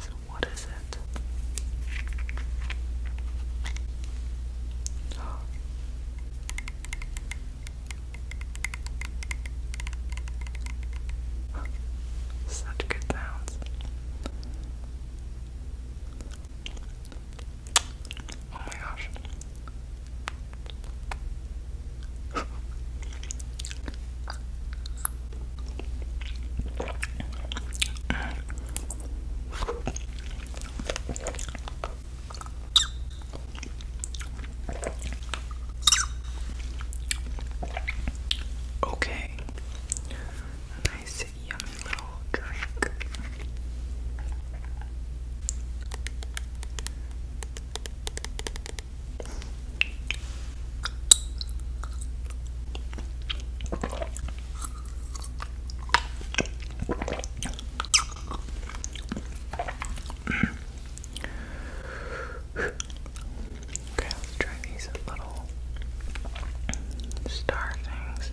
So, what is it? Such good sounds. Oh my gosh. Okay, nice yummy little drink. Okay, let's try these little star things.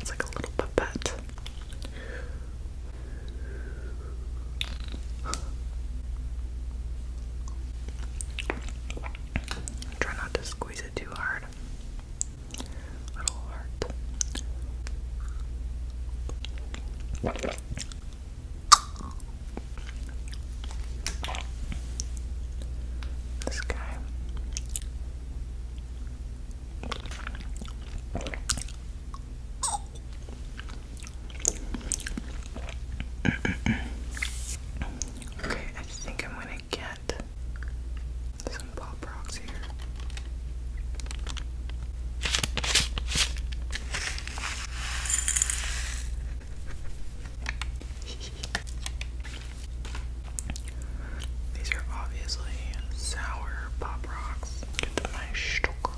It's like a little puppet. Try not to squeeze it too hard. Little heart. This guy Okay, I think I'm gonna get some pop rocks here. These are obviously sour pop rocks. Get to my shtok.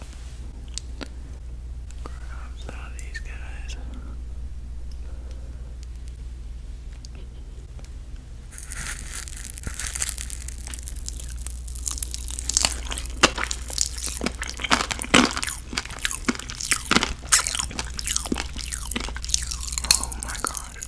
Grab some of these guys. Oh my god.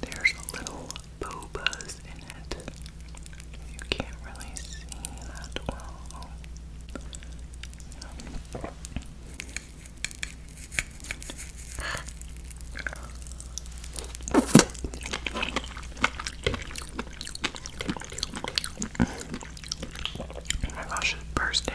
There's a little boobas in it. You can't really see that well. Oh my gosh, it's bursting.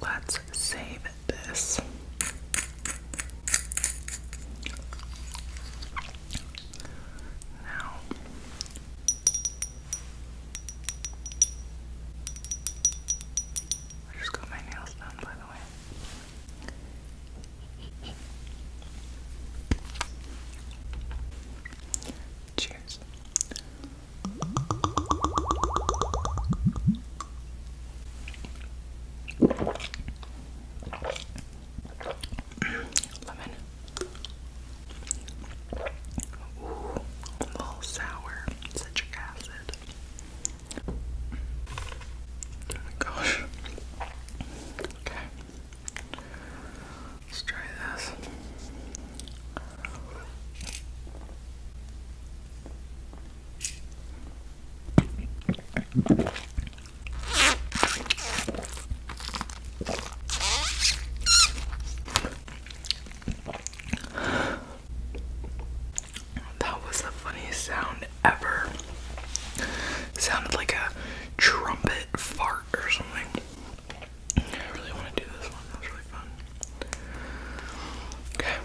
let's save this. Now, I just got my nails done, by the way. Cheers. Lemon. Ooh, a little sour. Citric acid. Oh my gosh. Okay. Let's try this. That was the funniest sound ever. sounded like a trumpet fart or something. I really want to do this one. That was really fun. Okay.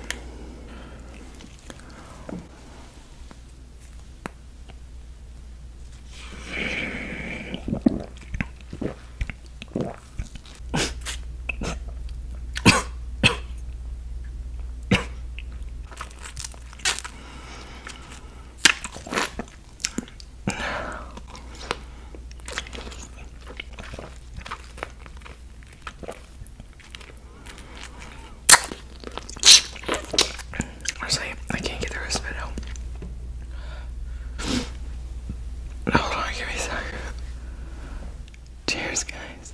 Honestly, I can't get the rest of it out. No, hold on, give me a sec. Cheers, guys.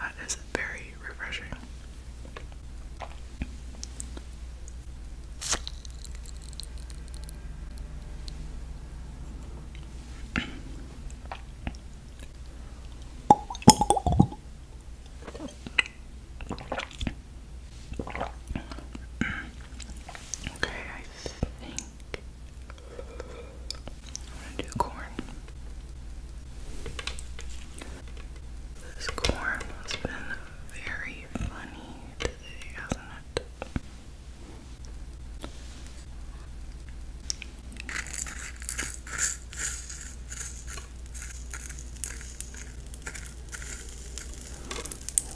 That is very refreshing. Okay, I think I'm to do corn. This corn has been very funny today, hasn't it?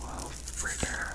Well, fritter.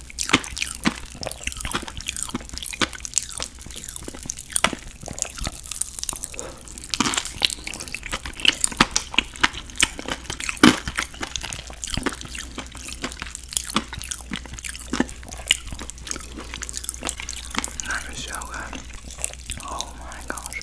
That is so good. Oh my gosh.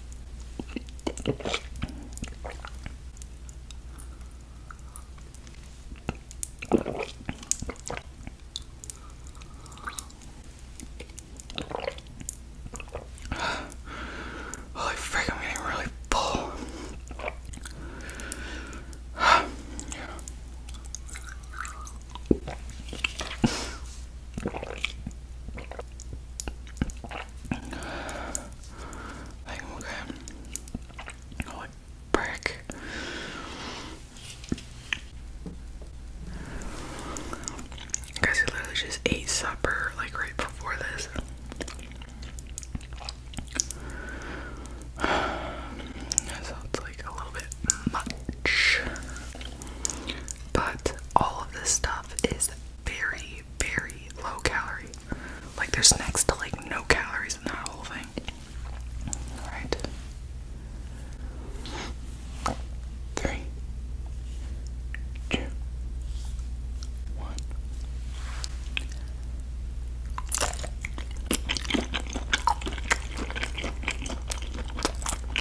Holy frick, I'm getting really full. Like, okay. What brick? Guys, I literally just ate supper like right before this. That sounds like a little bit much. But all of this stuff is very, very low calorie. Like there's next to like no calories in that whole thing. Alright. Three. Two. One.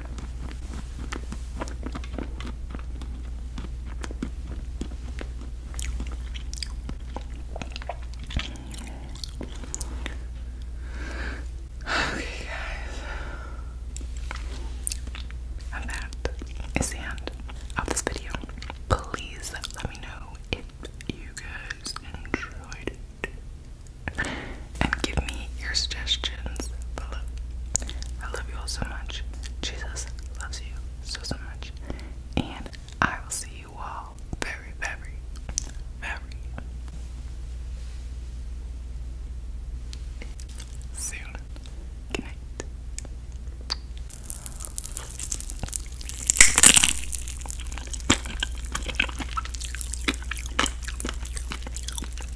Okay, guys. And that is the end of this video. Please let me know if you guys enjoyed And give me your suggestions I love you all so much. Jesus loves you so, so much. And I will see you all very, very, very soon.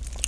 Good